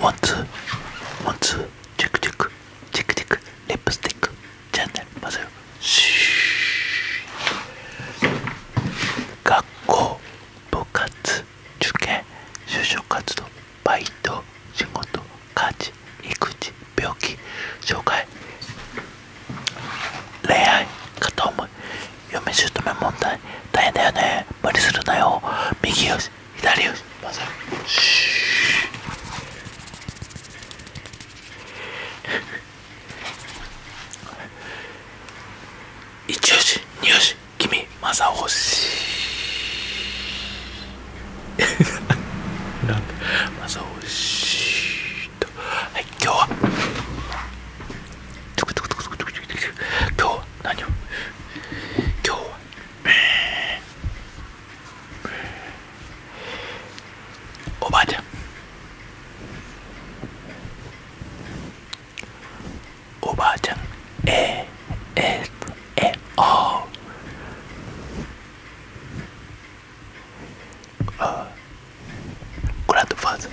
ワンツーワンツーチェクチェクチェクチェクリップスティックチャンネルまぜよし学校部活受験就職活動バイト仕事家事育児病気障害恋愛片思い嫁姑問題大変だよね無理するなよ右よし左よしまさし一よし二よし君まさおし なんでまさおしとはい今日は今日は何を今日はおばあちゃんおばあちゃんえー、えー、えー、ああグランドファーザー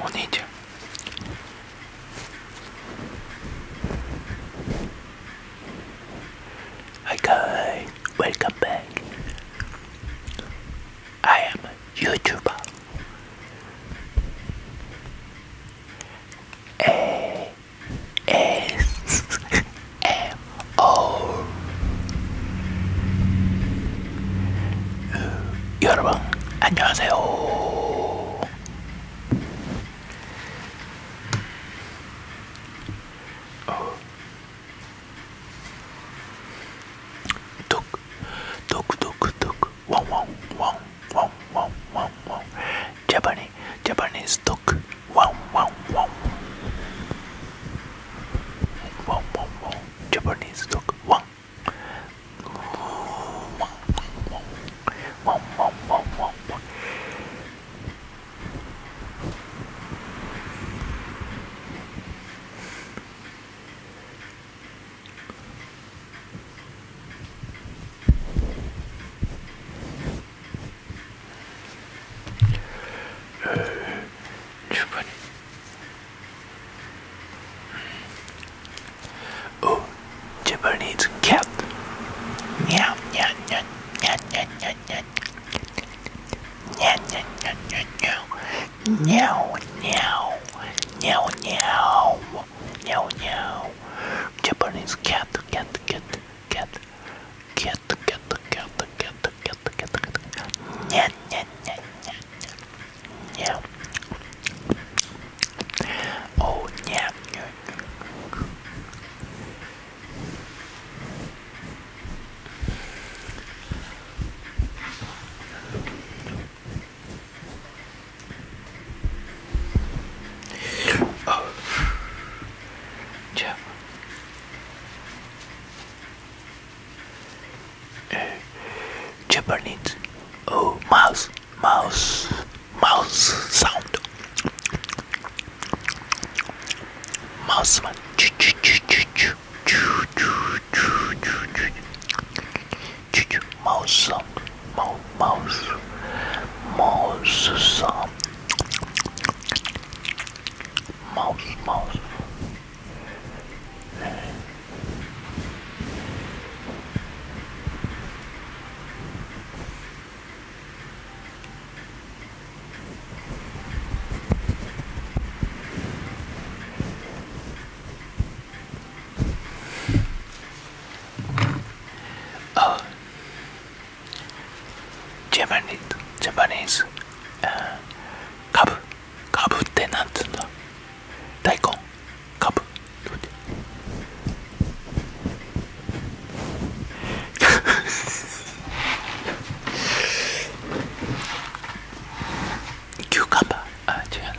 On idzie. Hi guys, welcome back. I am a YouTuber. Hey, ASMR 여러분 안녕하세요 뚝뚝뚝뚝 어. 왕왕왕 wow, wow, wow, wow. Japanese, Japanese dog. Wow, wow, wow. Wow, wow, wow. Japanese dog. Wow. Wow, wow, wow, wow, wow, Euh, je connais. Oh, Jibber needs a cat. Nya, nya, nya, nya, nya, nya, nya. Nya, nya, nya, nya, nya. Meow, meow. Meow, meow. Meow, meow. Japanese cat, cat, cat cat, cat, cat, cat, cat, cat, cat, cat, yeah, yeah, yeah, yeah, yeah. Oh yeah. Oh. Jeff. Uh, Japanese. Oh, mouse, mouse, mouse sound. Mouse man. Mouse sound. Mouse. Mouse sound. Mouse, mouse. Uh, ジャパニーズ、ジャパニーズ、カブ、カブってなんつうんだ大根、カブ。キューカンバー、あ、違う。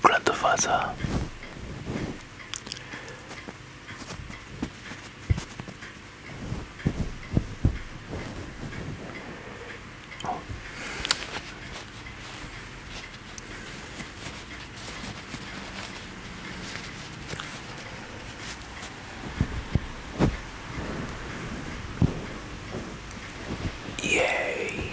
grandfather. Oh. Yay.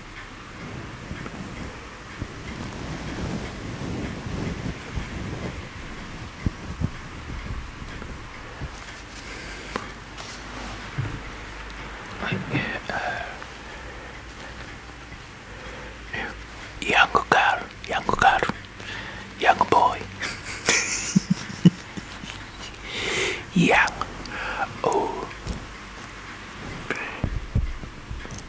young girl, young girl, young boy, young, oh.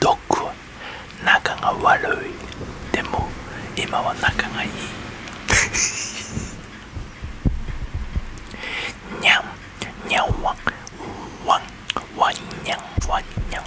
どこ？グは仲が悪いでも今は仲がいいにゃんにゃんわんわんわんにゃんわんにゃんわんにゃん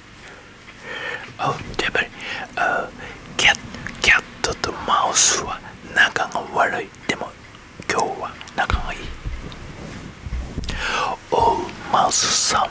Oh, Cat, and det var uh, katt, katt とマウスは仲が悪い。でも今日は仲がいい。Oh, mouse sound.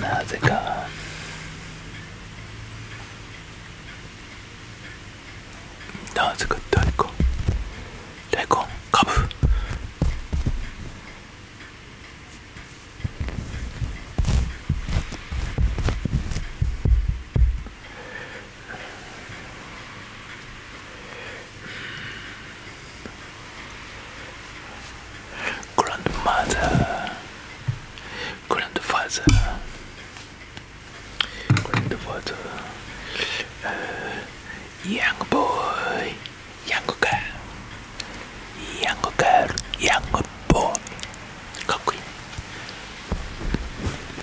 なぜかなぜか大根大根かぶ Grandmother, grandfather, grandfather, uh, young boy, young girl, young girl, young boy. かっこいい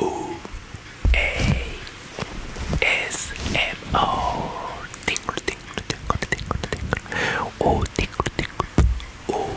Ooh, A S M O tinkle tinkle tinkle tinkle tinkle oh tinkle tinkle oh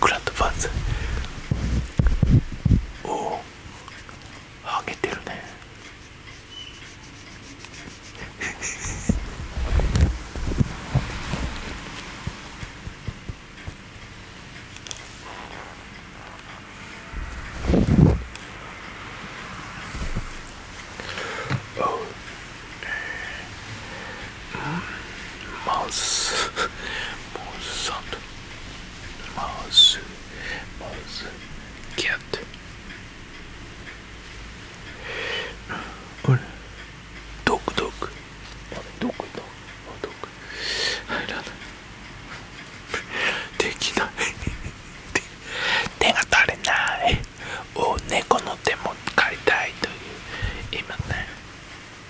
クラッドパンズ。おおハゲてるねおう マウスマウスサンドマウスマウスキャットあれドクドクドクドク。ドク。どこ入らなできない手が足りないお猫の手も借りたいという今ね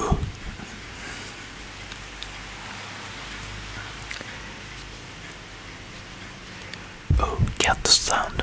Ooh. Oh, get the sound.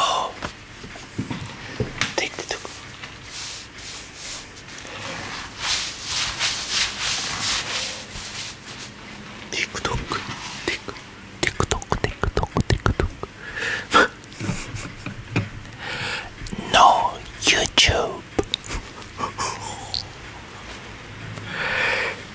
Oh, take the took. TikTok, Tik, TikTok, TikTok, TikTok. no, YouTube.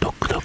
ドックドク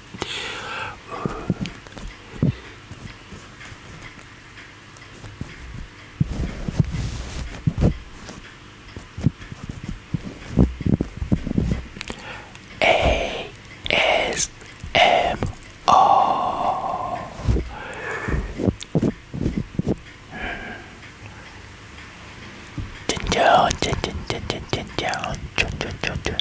ASMR Down, down, down, down, down, down, down, down, down,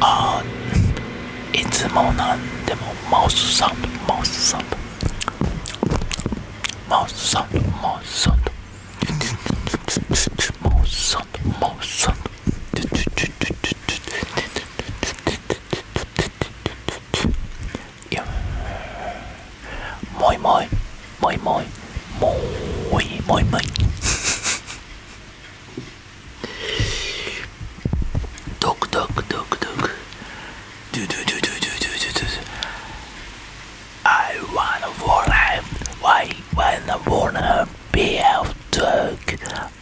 あいつもなんでもマウスサンドマウスサンドマウスサンドマウスサンドマウスサンドマウスサンドいや Moi moi, moi moi, moi moi moi. Dog dog dog dog. Do do do do do do do do. I wanna wanna, why wanna wanna be out dog.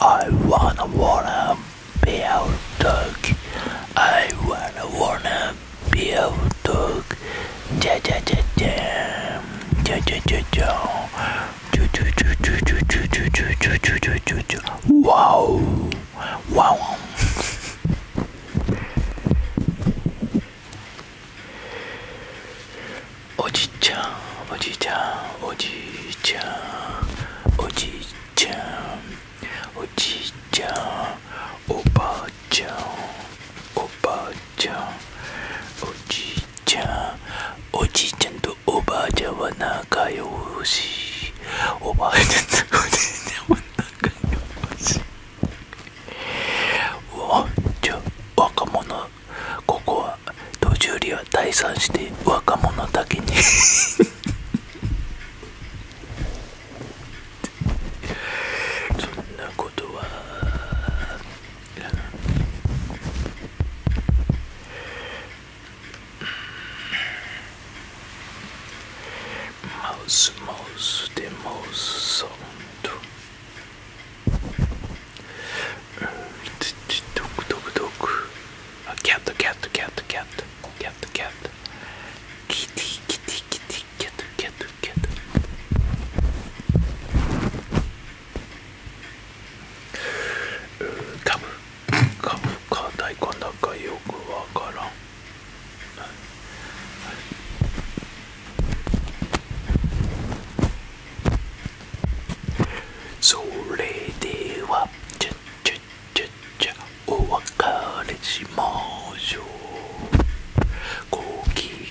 I wanna wanna be out dog. I wanna wanna Bill Dog Ja Ja Ja Ja Ja Ja Ja Ja Wow Wow Oji-chan, Oji-chan, Oji-chan, Oji-chan, Oji-chan. おばあちゃんおばあちゃんおじいちゃんおじいちゃんとおばあちゃんは仲良しおばあちゃんとおじいちゃんは仲良しおじゃ若者ここは途中利は退散して若者だけにそんなことはいらないマウスマウスでマウスサウンドドクドクドクキャットキャットキャットキャットキャットキャットキティキティキティ Get there, get there, get there. カムカムか大根だかよくわからん、はいはい、それではちゃちゃちゃちゃお別れしましょうごき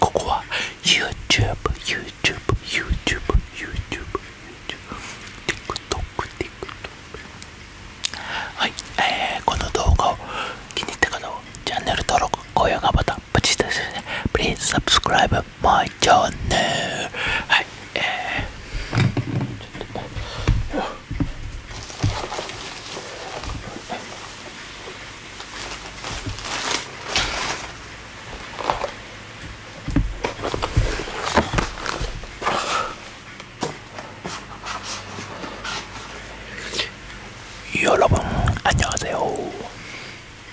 ここは YouTube、YouTube、YouTube、YouTube、TikTok、TikTok。はい、えー、この動画を気に入った方はチャンネル登録、高評価ボタン、プチッとですね。Please subscribe my channel! はい、えー、여러분안녕하세요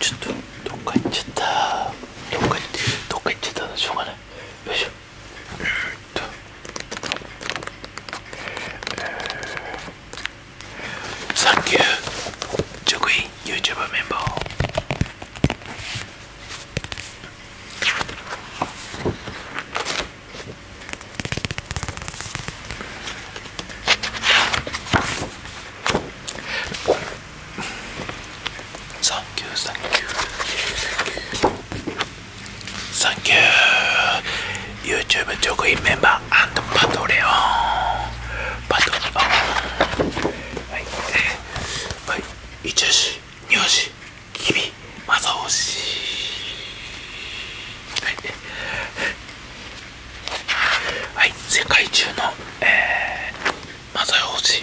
ちょっとどっか行っちゃったどっか行っちゃったのしょうがないよいしょえー、サンキュー職員 Thank you, thank you, thank you, YouTube Jokowi member and Patreon, Patreon. はいはい一押し二押し君まず押しはいはい世界中のえー、まず押し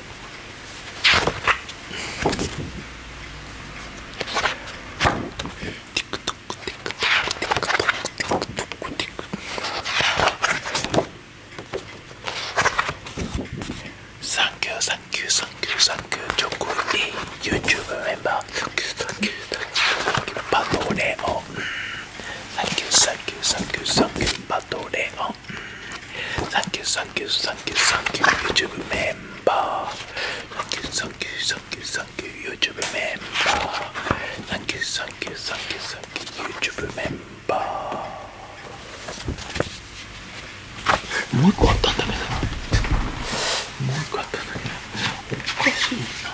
Thank you, thank you, thank you, thank you, Joku E YouTube member. Thank you, thank you, thank you, Pato Leon. Thank you, thank you, thank you, thank you, Pato Leon. Thank you, thank you, thank you, thank you, YouTube member. Thank you, thank you, thank you, thank you, YouTube member. Thank you, thank you, thank you, thank you, YouTube member. Muy cuánto también. Muy cuánto también. Un cosino.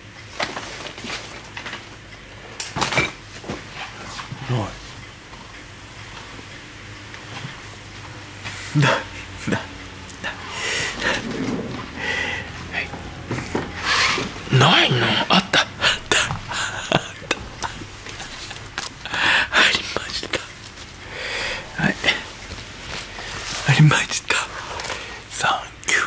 はいないないのあったありましたはいありましたサンキュー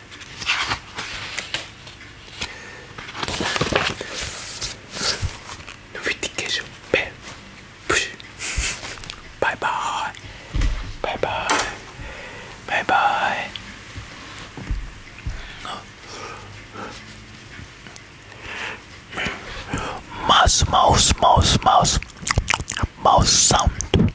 Notification bell. Push. bye. Bye bye. Bye bye. Mouse, mouse, mouse, mouse, mouse sound,